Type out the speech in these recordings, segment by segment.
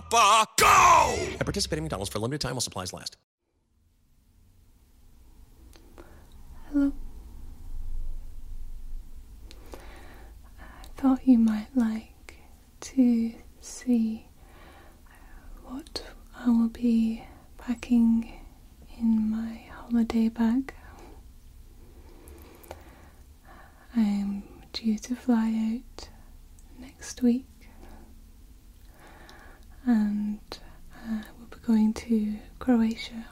Papa, go! participate in McDonald's for a limited time while supplies last. Hello. I thought you might like to see what I will be packing in my holiday bag. I'm due to fly out next week and uh, we'll be going to Croatia,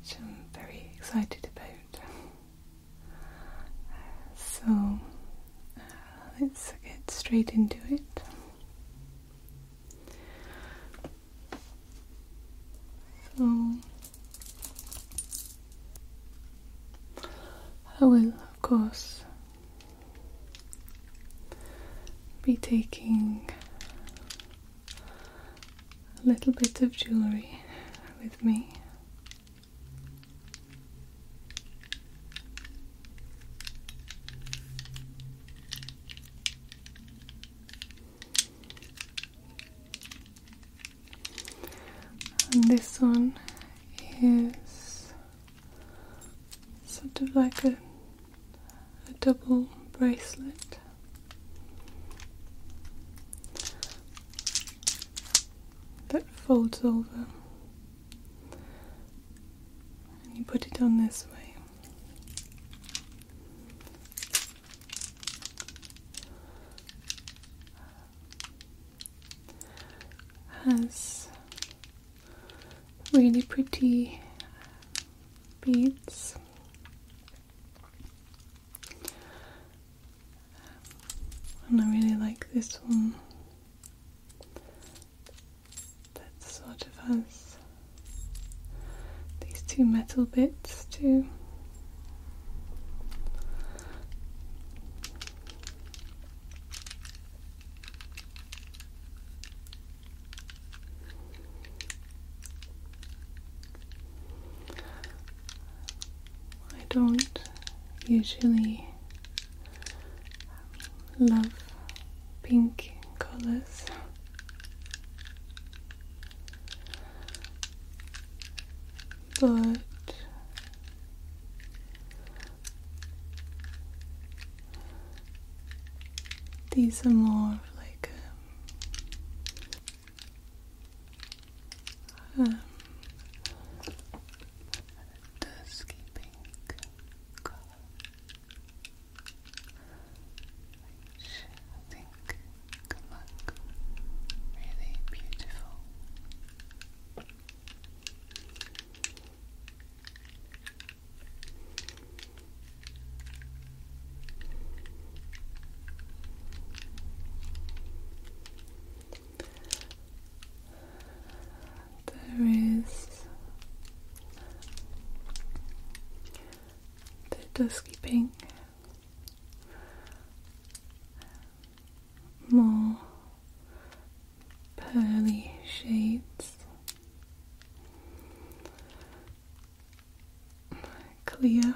which I'm very excited about. So uh, let's get straight into it. So I will, of course, be taking a little bit of jewellery with me and this one is sort of like a, a double bracelet. That folds over, and you put it on this way has really pretty beads. And I really like this one that sort of has these two metal bits too. I don't usually love pink colors but these are more like a, dusky pink which I think look really beautiful. There is the dusky pink more pearly shades, clear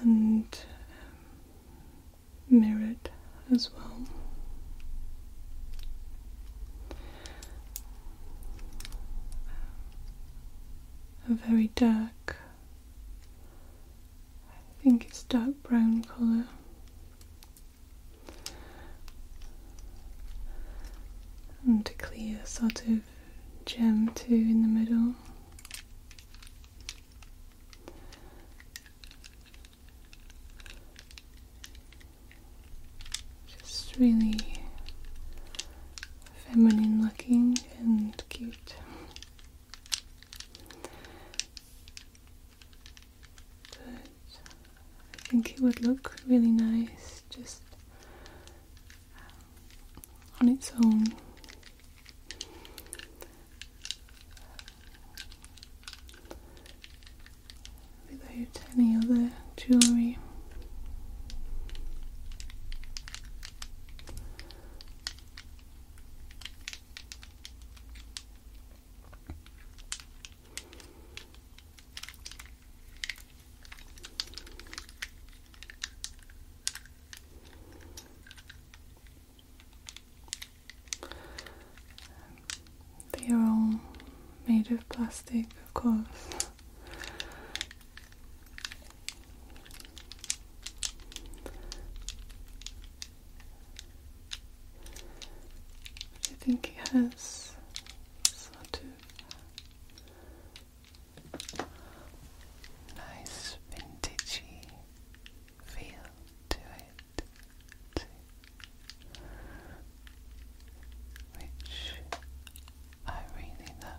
and um, mirrored as well. A very dark I think it's dark brown colour. And a clear sort of gem too in the middle. Just really feminine looking and cute. I think it would look really nice just um, on its own. Without any other jewellery. They are all made of plastic, of course. I think he has sort of nice vintagey feel to it which I really love.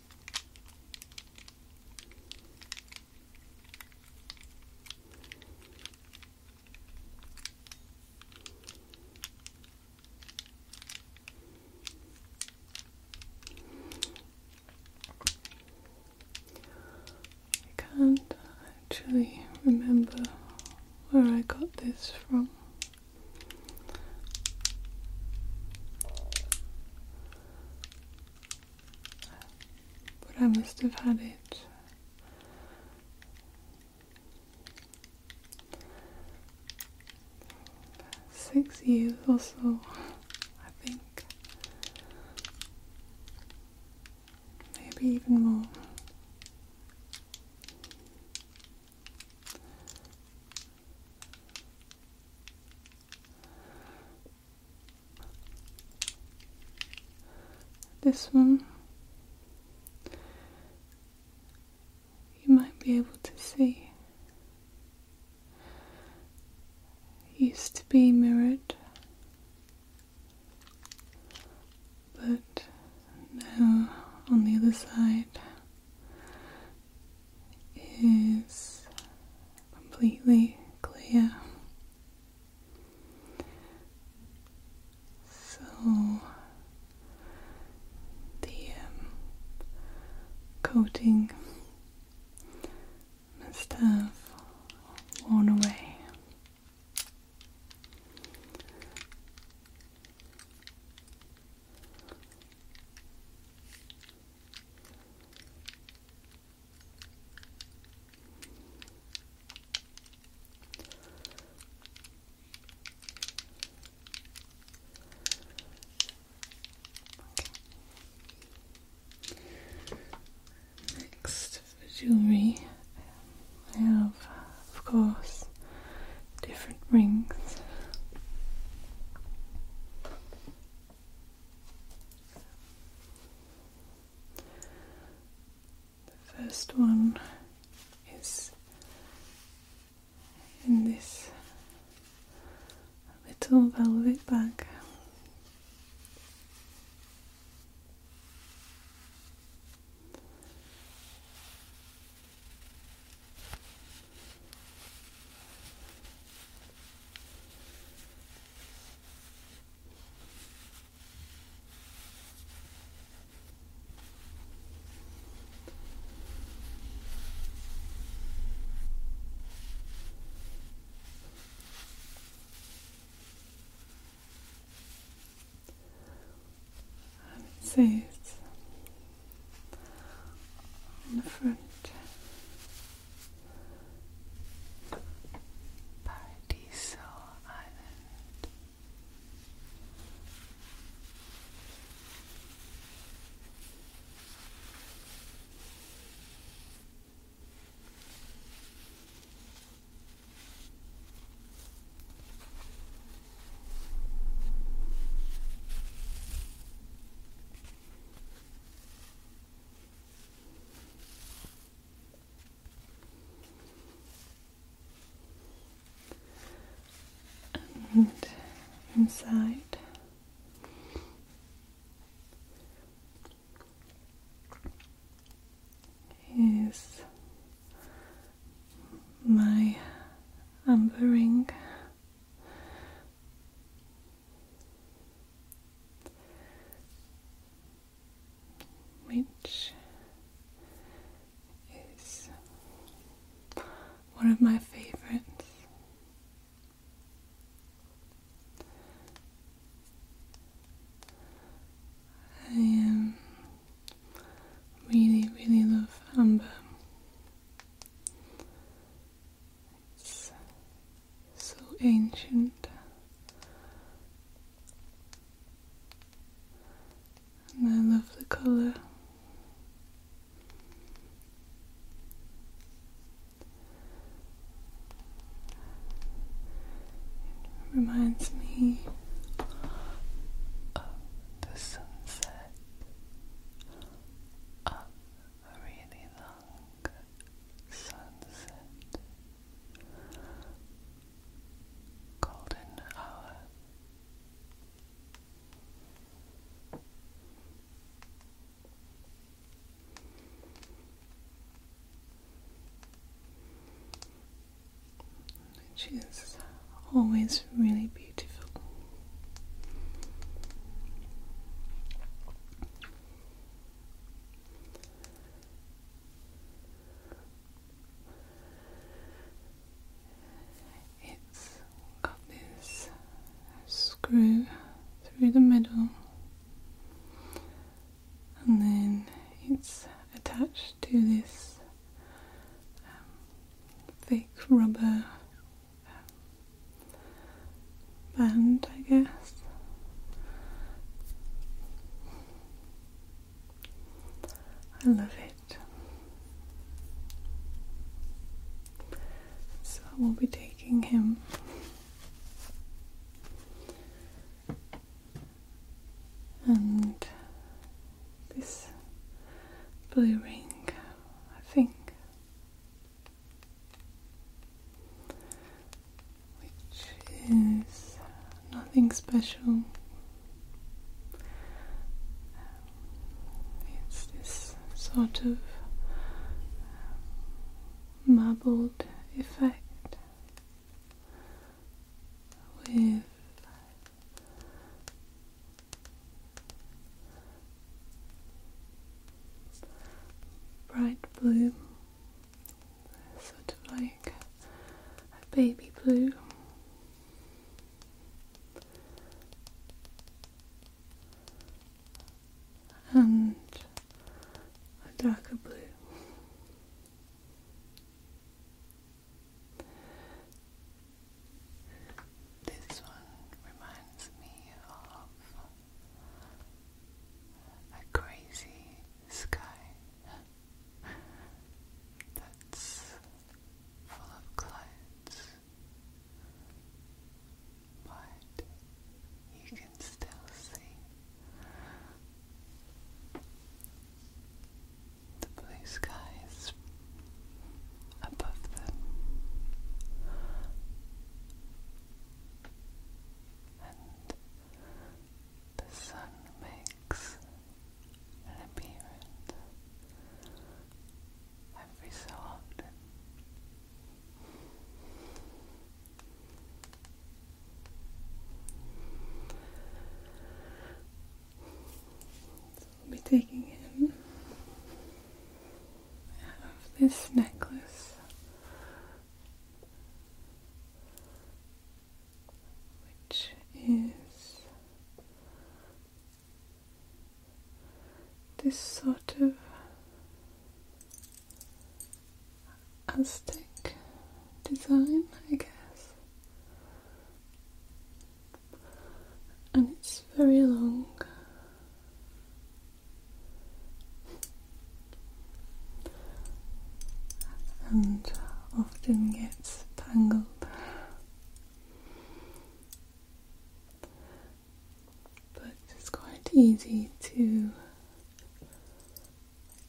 I can't actually remember where I got this from. But I must have had it. Six years or so, I think. Maybe even more. This one you might be able to see used to be mirrored, but now on the other side is completely clear. So the um, coating must have worn away. Next jewelry, um, I have, of course, different rings. The first one is in this little velvet bag. And it on the front. Paradiso Island. And inside is my amber ring which is one of my favorites. I um, really, really love amber. It's so ancient. And I love the color. reminds me of the sunset a really long sunset, golden hour. Choose always really beautiful. It's got this screw through the middle, and then it's attached to this um, thick rubber bend, I guess. I love it. So we'll be taking him and this blue ring, I think which is nothing special. It's this sort of um, marbled effect with bright blue, sort of like a baby blue. And a darker blue. This one reminds me of a crazy sky that's full of clouds, but you can still see the blue skies above them and the sun makes an appearance every so often. I'll be taking him out of this necklace, which is this sort of Aztec design, I guess and it's very long. And often gets tangled. But it's quite easy to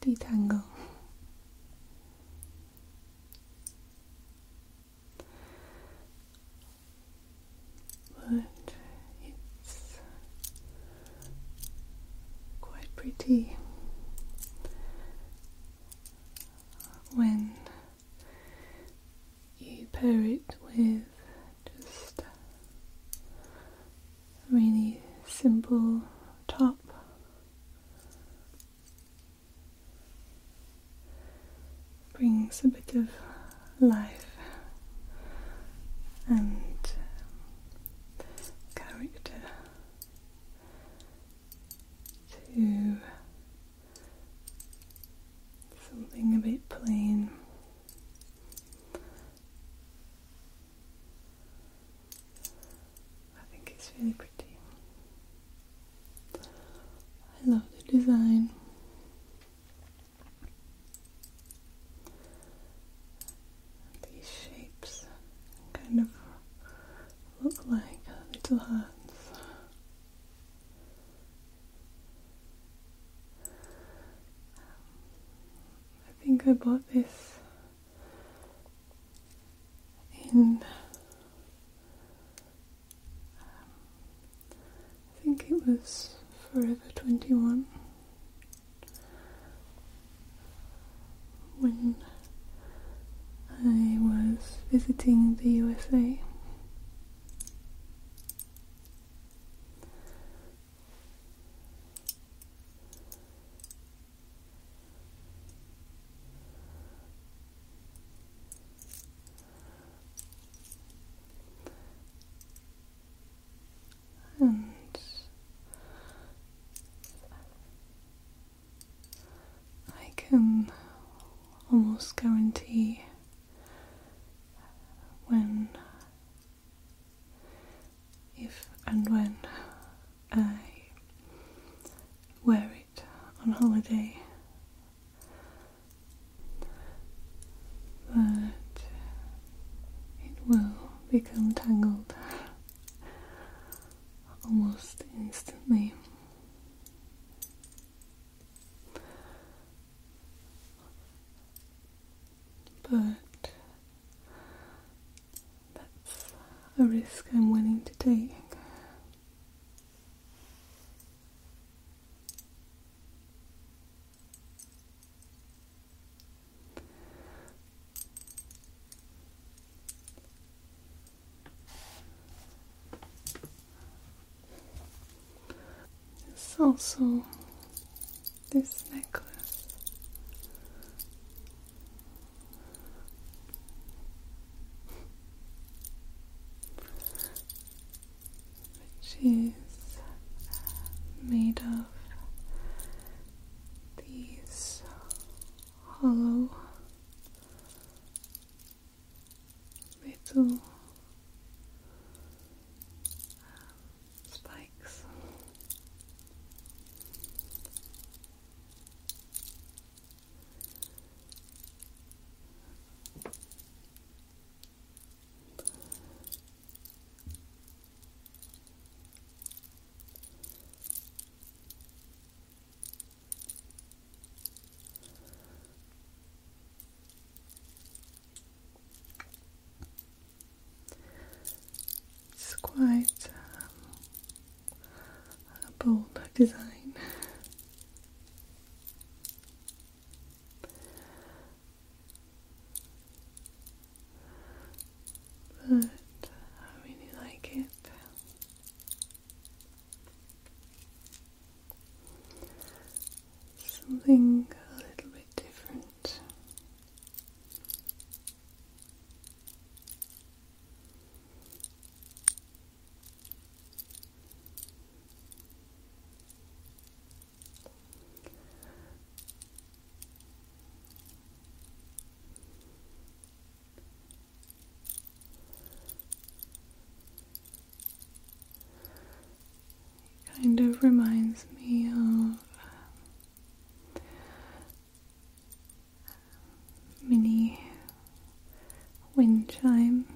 detangle but it's quite pretty when you pair it with just a really simple top brings a bit of life and um, character to something a bit plain. I think it's really pretty. I love the design. These shapes kind of look like little hands. I think I bought this in I think it was Forever 21 when I was visiting the USA and I can almost guarantee when, if and when I wear on holiday. But it will become tangled almost instantly. But that's a risk I'm willing to take it's also this necklace which is made of these hollow little um, spikes. It's quite um, a bold design. But I really like it. Something a little bit different kind of reminds me of mini um, wind chimes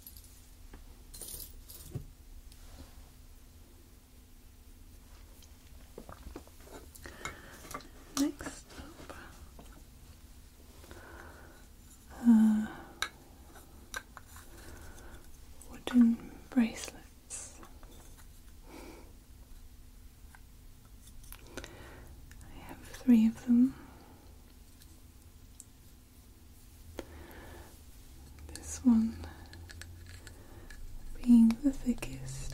Next up, uh, wooden bracelets. I have three of them. This one being the thickest.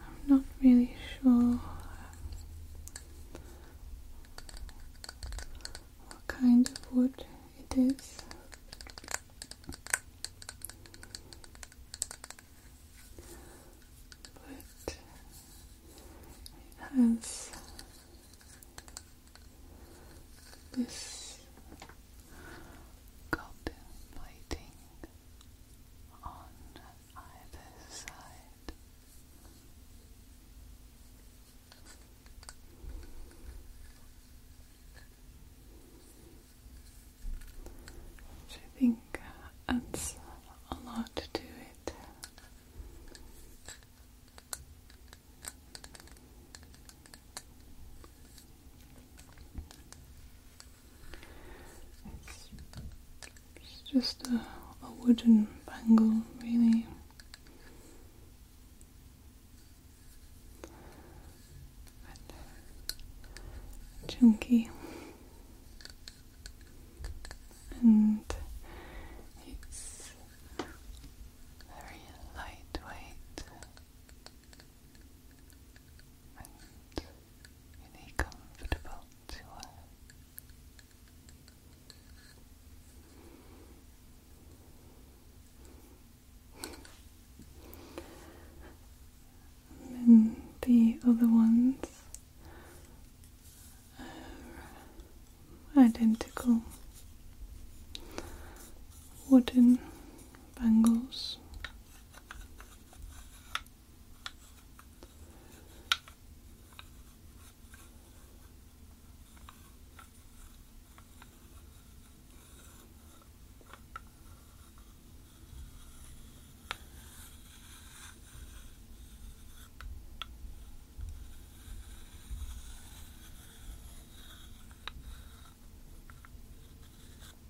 I'm not really sure what kind of wood it is. But it has this contemplating on either side. I think adds a lot to it. It's just a, wooden bangle, really. chunky. And it's very lightweight and really to her. Uh, and the other ones are identical wooden bangles.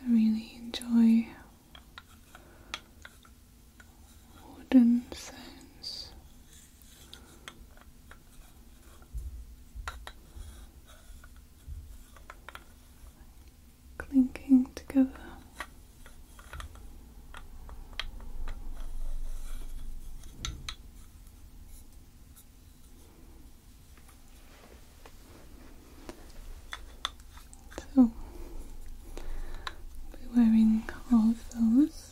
I really enjoy wooden sounds clinking together. So, be wearing all those.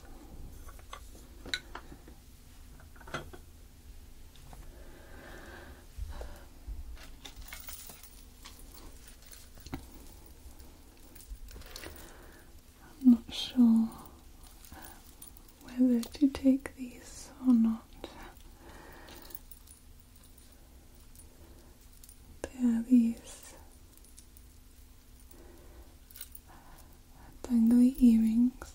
I'm not sure um, whether to take these or not. There are these dangly earrings.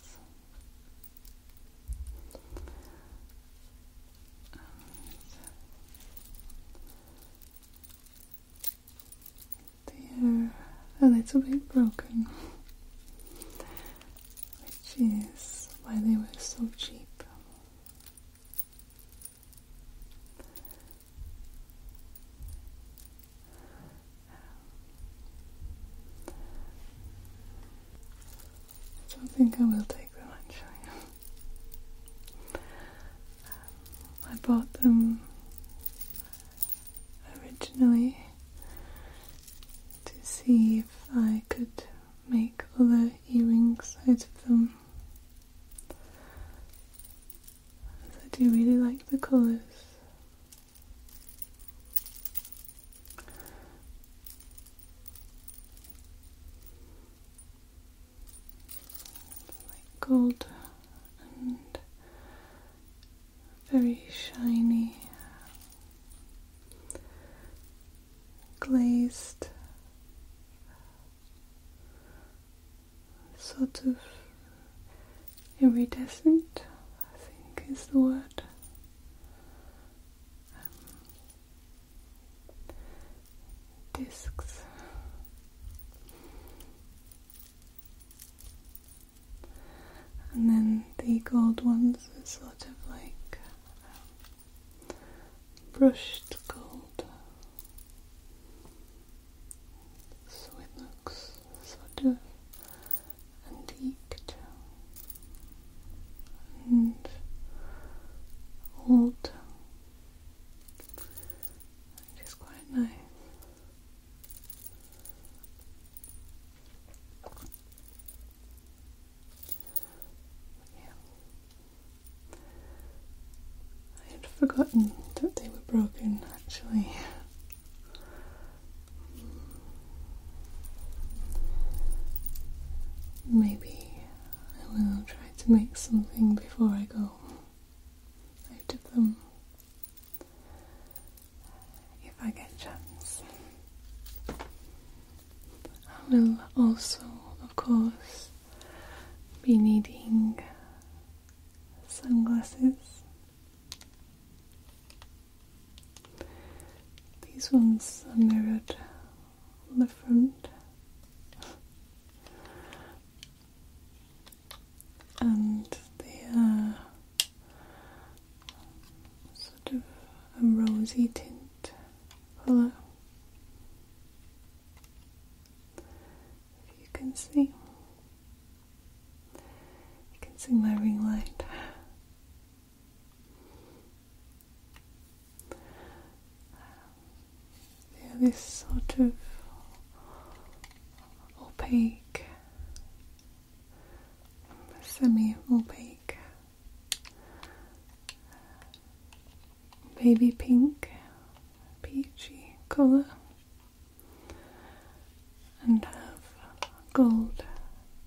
And they are a little bit broken, which is why they were so cheap. So I think I will take them actually. I bought them originally to see if I could make other earrings out of them. I do really like the colours. Like gold and very shiny glazed sort of iridescent, I think is the word. Um, discs. And then the gold ones are sort of like um, brushed gold. So it looks sort of antiqued and old, which is quite nice. Yeah. I had forgotten that they were broken actually. Maybe I will try to make something before I go out of them if I get chance. I will also, of course, be needing sunglasses. These ones are mirrored on the front. And they are sort of a rosy tint colour. If you can see, you can see my ring light. They're this sort of opaque, semi opaque, baby pink, peachy colour and have a gold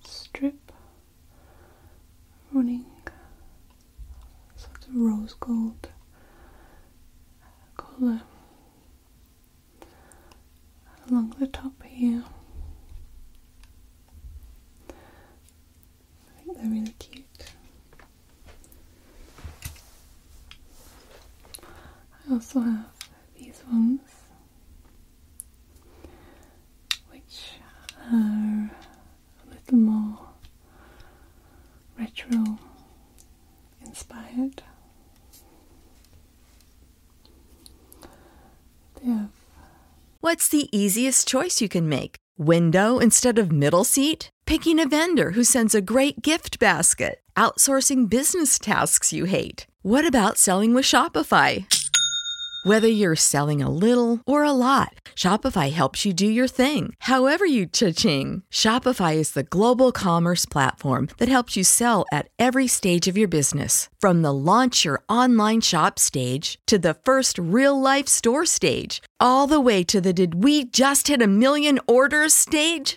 strip running sort of rose gold colour along the top here. I think they're really cute. I also have these ones, which are a little more retro inspired. They What's the easiest choice you can make? Window instead of middle seat? picking a vendor who sends a great gift basket, outsourcing business tasks you hate. What about selling with Shopify? Whether you're selling a little or a lot, Shopify helps you do your thing, however you cha-ching. Shopify is the global commerce platform that helps you sell at every stage of your business. From the launch your online shop stage to the first real life store stage, all the way to the did we just hit a million orders stage.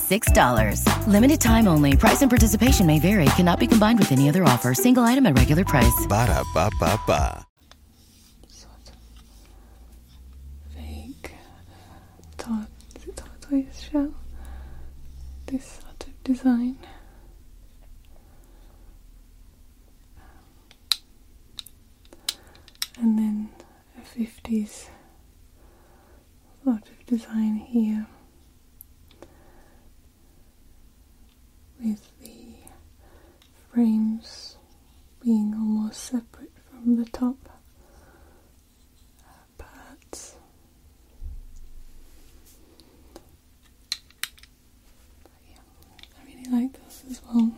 $6. Limited time only. Price and participation may vary. Cannot be combined with any other offer. Single item at regular price. Ba da ba ba ba. Fake tortoise shell. This sort of design. And then 50s a lot of design here with the frames being almost separate from the top parts. But I really like this as well.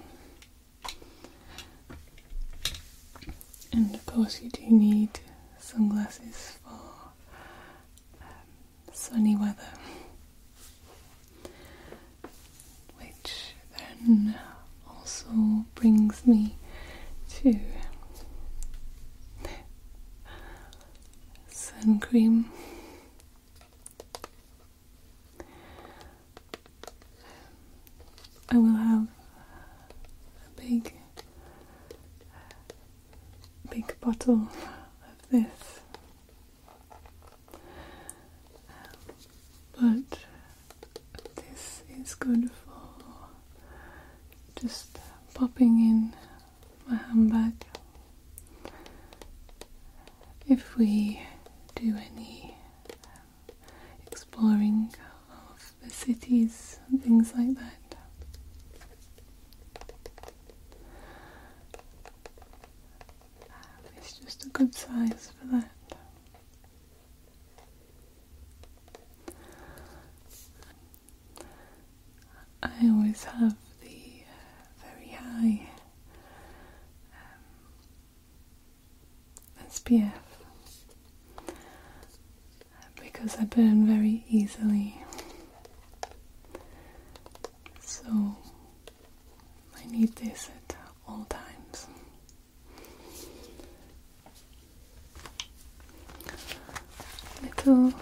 And of course, you do need sunglasses for um, sunny weather, which then also brings me to sun cream. I will have a big big bottle of this. but this is good for just popping in my handbag. If we do any exploring of the cities and things like that. Um, it's just a good size for that. I always have the uh, very high um, SPF because I burn very easily. So I need this at all times. Little um,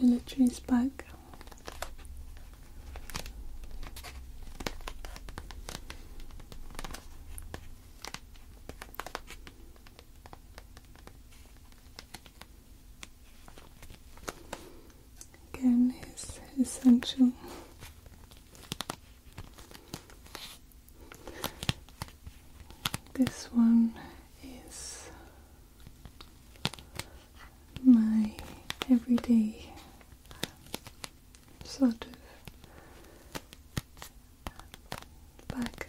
toiletries bag Again, is essential. This one is my everyday sort of background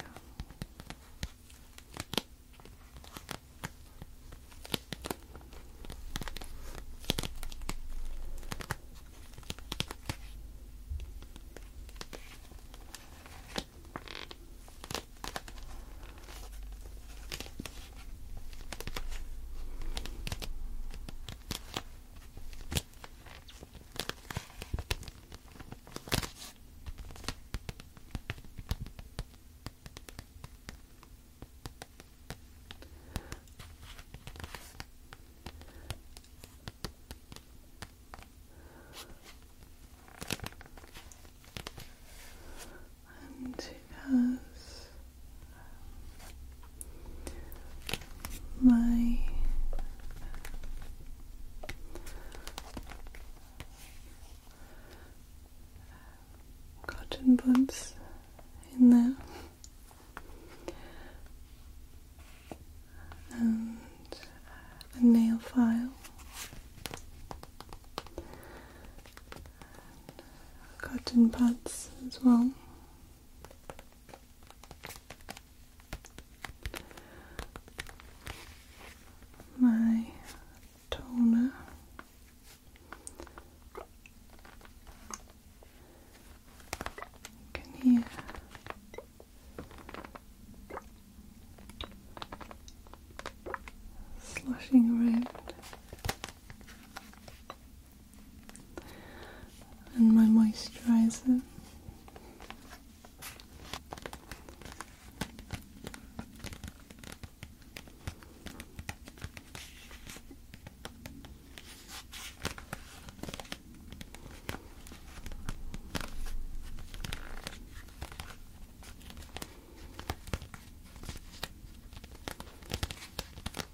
and two because my cotton buds in there and a nail file cotton pads as well my toner you can hear sloshing around and my moisturizer.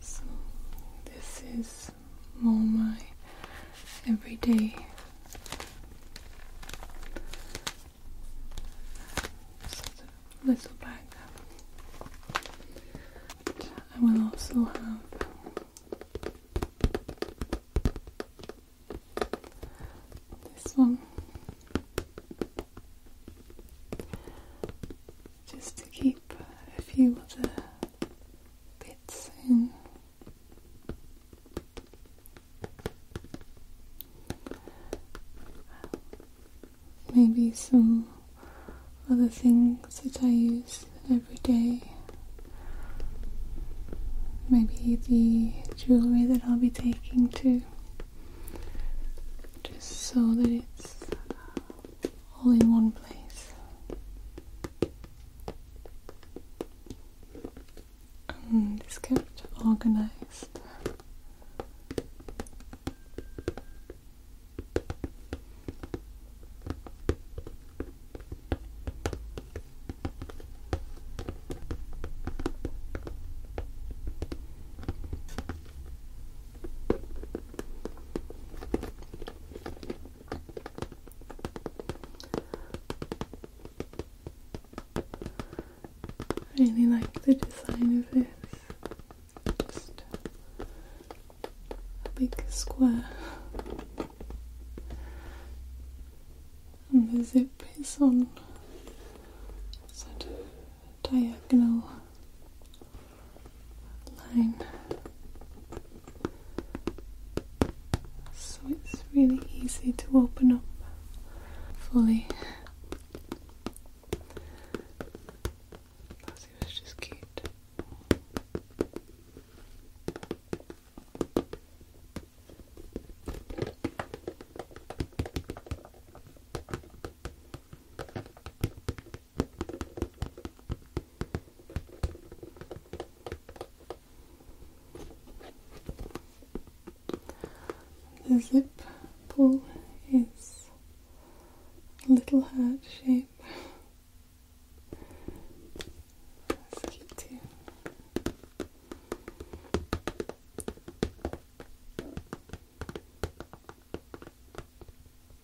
So, this is all my everyday little bag. But I will also have this one just to keep a few other Maybe some other things that I use every day. Maybe the jewellery that I'll be taking too. Just so that it's all in one place and is kept organized. Really like the design of this. Just a big square. And the zip is on sort diagonal line. So it's really easy to open up fully. was just cute. The zip pull is a little heart shape. That's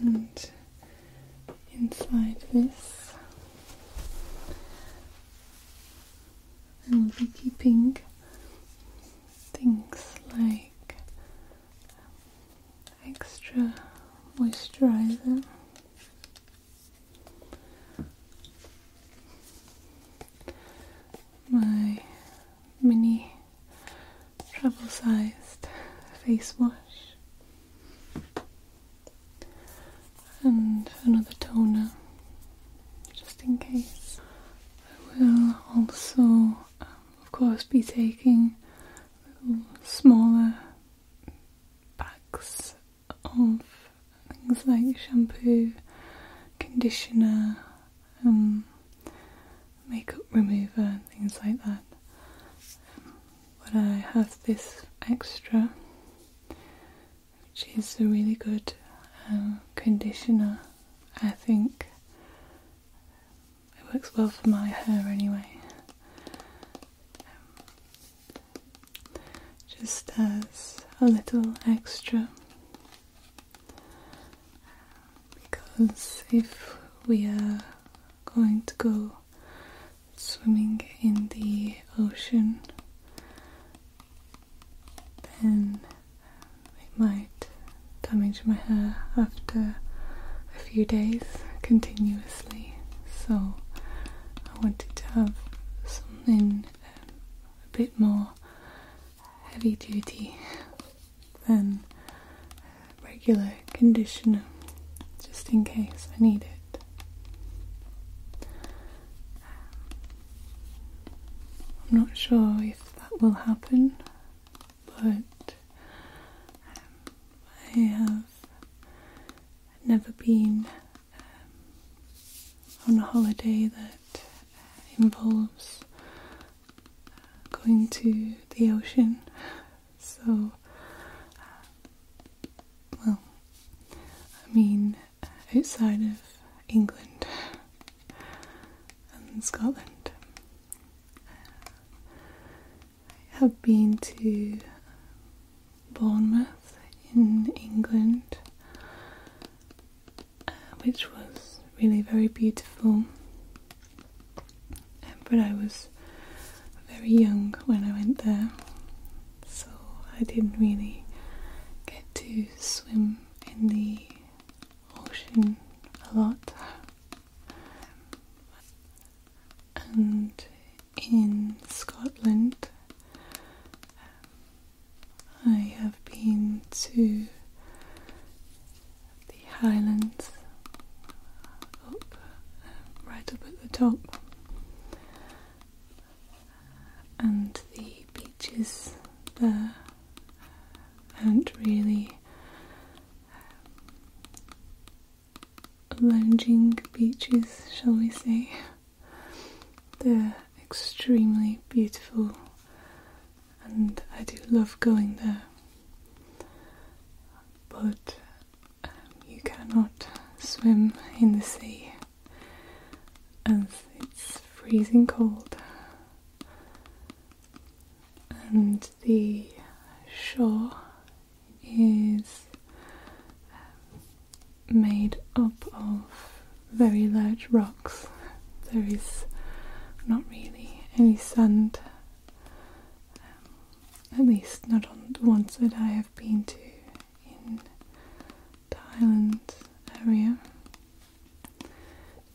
And inside this, I will be keeping things like extra moisturizer. My mini travel sized face wash and another toner just in case. I will also, um, of course, be taking smaller bags of things like shampoo, conditioner, um, makeup remover, things like that. but I have this extra, which is a really good uh, conditioner, I think. It works well for my hair anyway. Um, just as a little extra, because if we are going to go swimming in the ocean, then we might damage my hair after a few days continuously so I wanted to have something um, a bit more heavy duty than regular conditioner just in case I need it. I'm not sure if that will happen but um, I have never been um, on a holiday that involves going to the ocean, so um, well, I mean, outside of England and Scotland. I have been to Bournemouth in England, uh, which was really very beautiful. Um, but I was very young when I went there, so I didn't really get to swim in the ocean a lot and in Scotland um, I have been to the Highlands up uh, right up at the top and the beaches there aren't really lounging beaches, shall we say. They're extremely beautiful, and I do love going there. But um, you cannot swim in the sea as it's freezing cold and the shore is um, made up of very large rocks. There is not really any sand, um, at least not on the ones that I have been to in Thailand's area.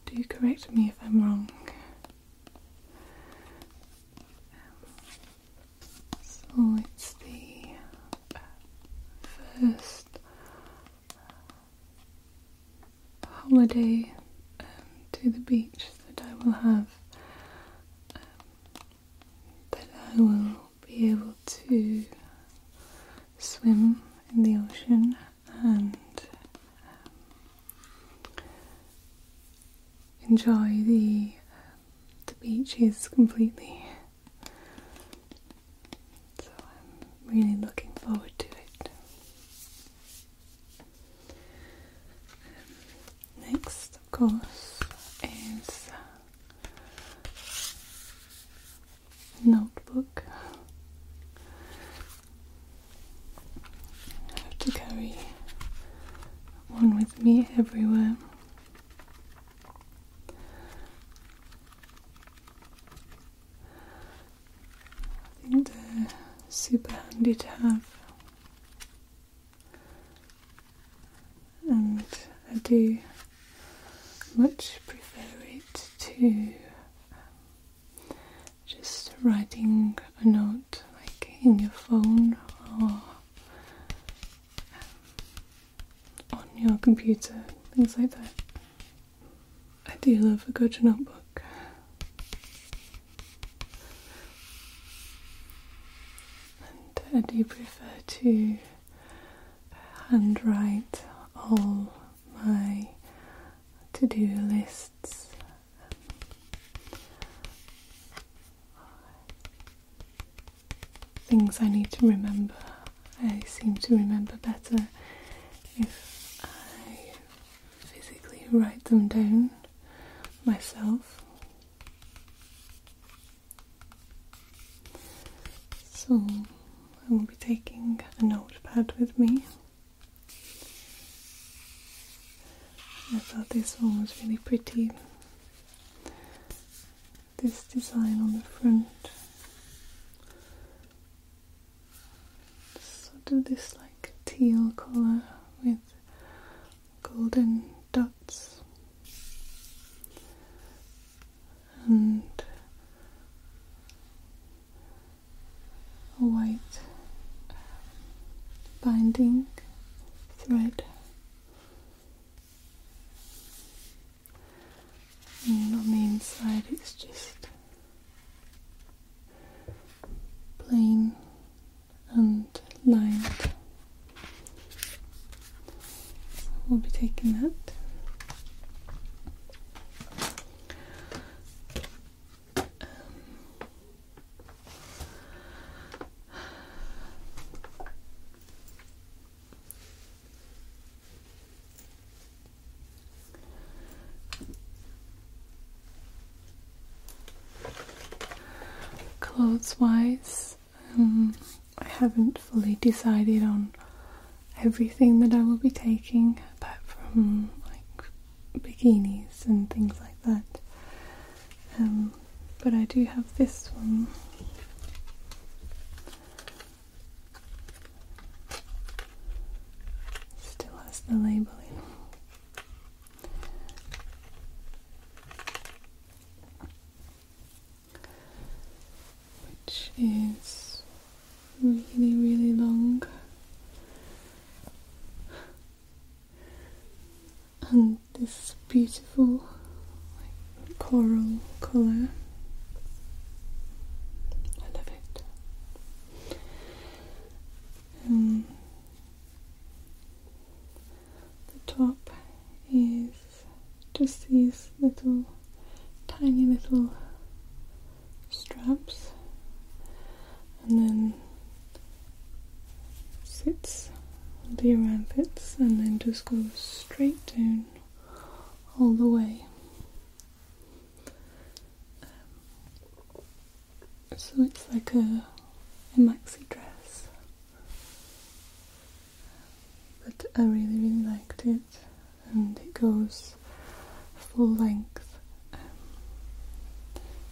Do correct me if I'm wrong so it's the first holiday um, to the beach that I will have um, that I will be able to swim in the ocean and um, enjoy the beaches completely. So I'm really looking forward to it. next, of course, is notebook. I have to carry one with me everywhere. I think they're super handy to have, and I do much prefer it to just writing a note like in your phone or um, on your computer, things like that. I do love a good notebook. And I do prefer to handwrite all my to do lists things I need to remember. I seem to remember better if I physically write them down myself. So I will be taking a notepad with me. I thought this one was really pretty. This design on the front. So do this like teal colour with golden dots. And white binding thread and on the inside it's just plain and lined we'll be taking that um, Clothes wise, um, I haven't fully decided on everything that I will be taking apart from like bikinis and things like that. Um, but I do have this one. Still has the labelling. Which is really, really long and this beautiful coral colour. I love it. Um, the top is just these little tiny little straps, and then sits on the arm pits and then just goes straight down all the way. Um, so it's like a maxi dress, but I really, really liked it, and it goes full length um,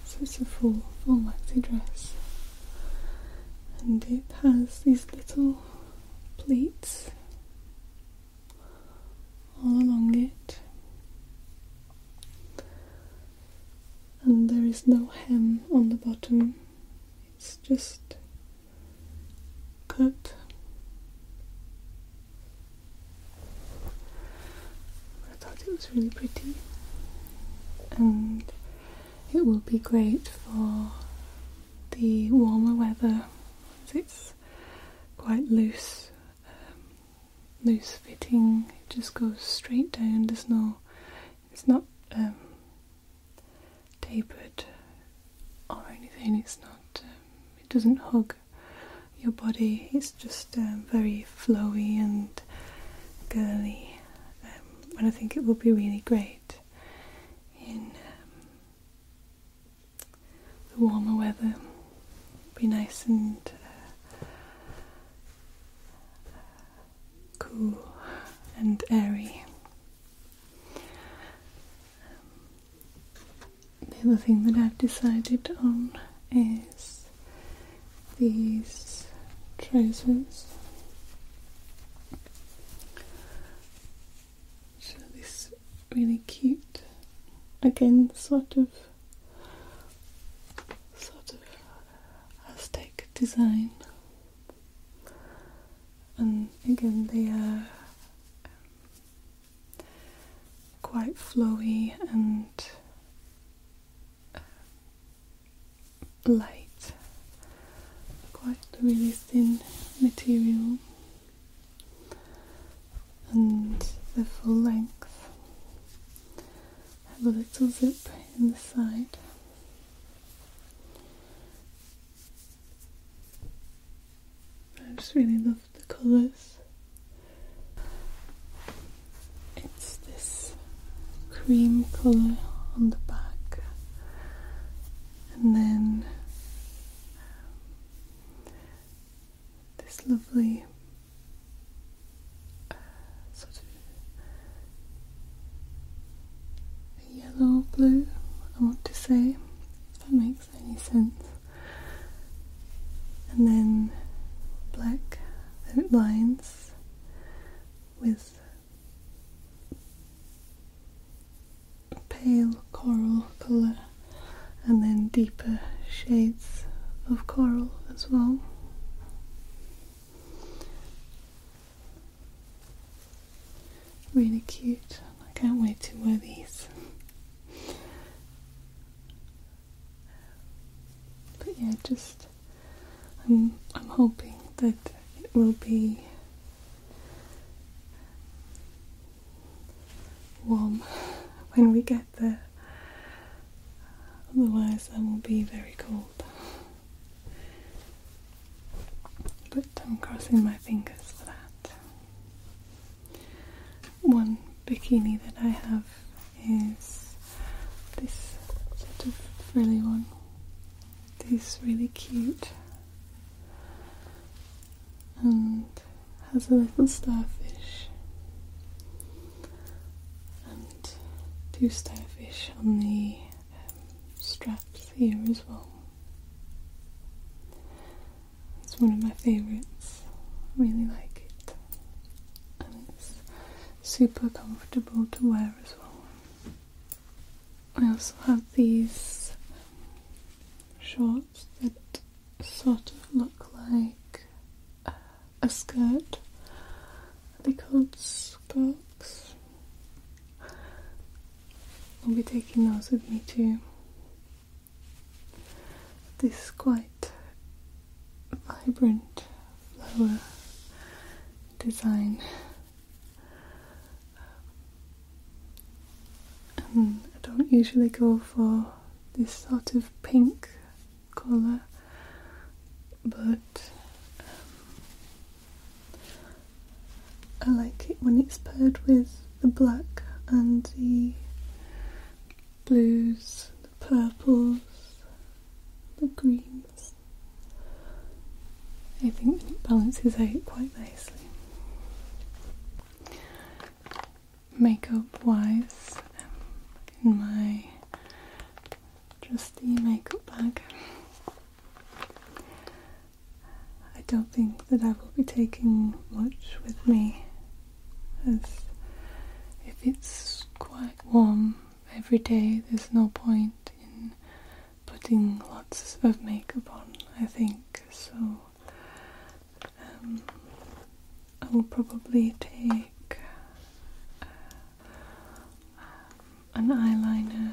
so it's a full, full maxi dress, and it has these little pleats all along it, and there is no hem on the bottom, it's just cut I thought it was really pretty and it will be great for the warmer weather it's quite loose um, loose fitting it just goes straight down there's no it's not um, tapered or anything it's not um, it doesn't hug your body is just um, very flowy and girly, um, and I think it will be really great in um, the warmer weather. Be nice and uh, cool and airy. The other thing that I've decided on is these trousers. So this really cute, again, sort of, sort of Aztec design, and again they are um, quite flowy and light, quite a really thin material, and the full length have a little zip in the side. I just really love the colours. It's this cream colour on the back, and then this lovely uh, sort of yellow blue. I want to say, if that makes any sense and then black outlines with pale coral colour and then deeper shades of coral as well. Really cute. I can't wait to wear these. But yeah, just I'm I'm hoping that it will be warm when we get there. Otherwise, I will be very cold. But I'm crossing my fingers for that. One bikini that I have is this sort of frilly one. This really cute and has a little starfish and two starfish on the um, straps here as well. It's one of my favourites. I really like it and it's super comfortable to wear as well. I also have these shorts that sort of look like a skirt. Are they called skirts? I'll be taking those with me too. This is quite vibrant flower design. And um, I don't usually go for this sort of pink colour, but um, I like it when it's paired with the black and the blues, the purples, the greens. I think it balances out quite nicely. Makeup wise, in my trusty makeup bag. I don't think that I will be taking much with me if it's quite warm every day, there's no point in putting lots of makeup on, I think. So um, I will probably take uh, an eyeliner,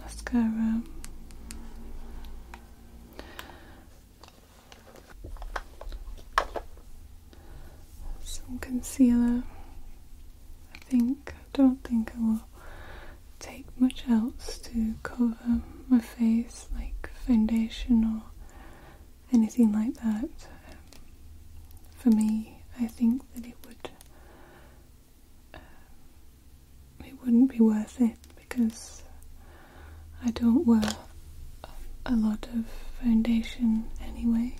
mascara some concealer. I think, I don't think I will take much else to cover my face, like foundation or anything like that. for me, I think that it would um, it wouldn't be worth it because I don't wear a lot of foundation anyway.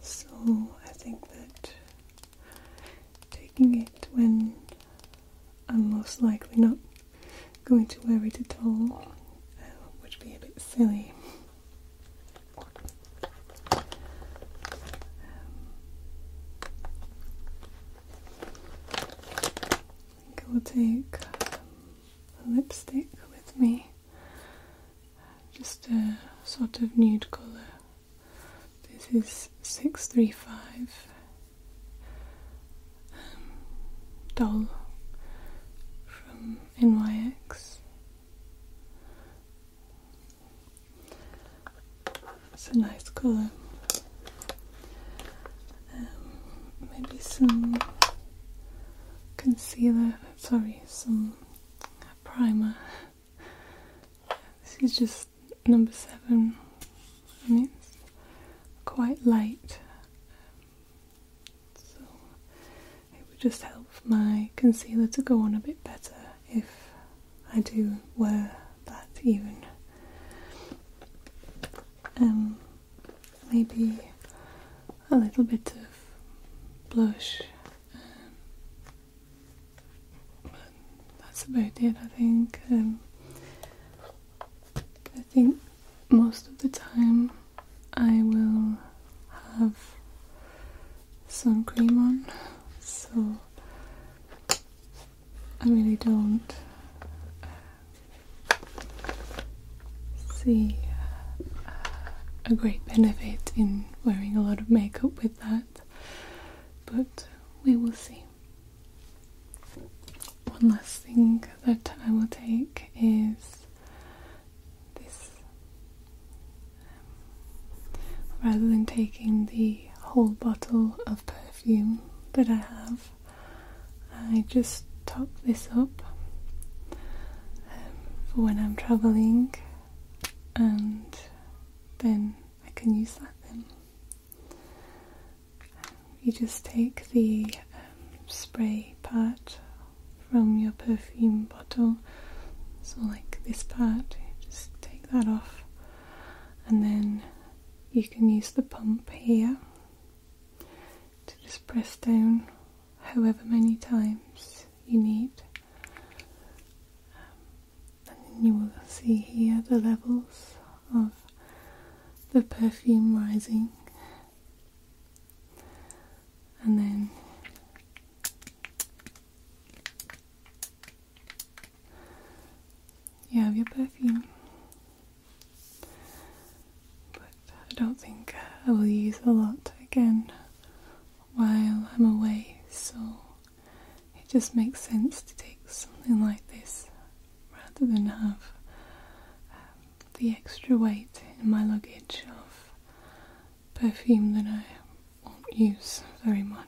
So I think that taking it when I'm most likely not going to wear it at all uh, would be a bit silly. Um, I think I will take a lipstick with me, just a sort of nude colour. This is 635 um, Dull. from NYX. It's a nice colour. Um, maybe some concealer, sorry, some primer. This is just number seven. I mean, it's quite light, so it would just help my concealer to go on a bit better if I do wear that even. Um, maybe a little bit of blush, but um, that's about it. I think. Um, I think most of the time I will have sun cream on, so I really don't see a great benefit in wearing a lot of makeup with that, but we will see. One last thing that I will take is this. rather than taking the whole bottle of perfume that I have, I just top this up um, for when I'm traveling and then I can use that then. You just take the um, spray part from your perfume bottle, so like this part, just take that off and then you can use the pump here to just press down however many times you need. Um, and you will see here the levels of the perfume rising. And then you have your perfume. But I don't think uh, I will use a lot again while I'm away, so it just makes sense to take something like this rather than have um, the extra weight in my luggage of perfume that I won't use very much.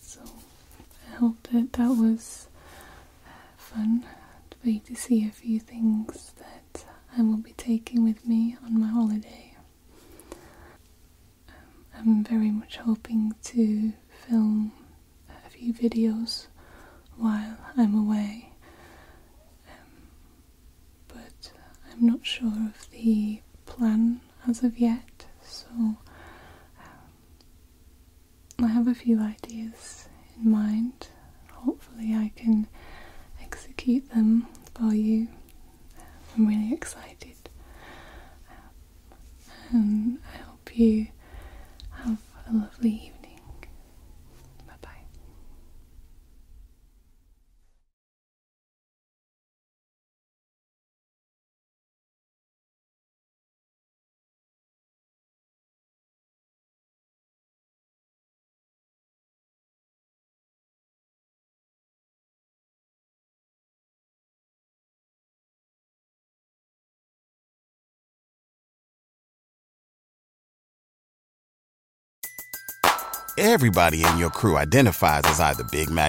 So I hope that that was uh, fun for you to see a few things that I will be taking with me on my holiday. Um, I'm very much hoping to film a few videos while I'm away, um, but I'm not sure of the plan as of yet, so um, I have a few ideas in mind. Hopefully, I can execute them for you. I'm really excited, um, and I hope you have a lovely evening. Bye bye. Everybody in your crew identifies as either Big Mac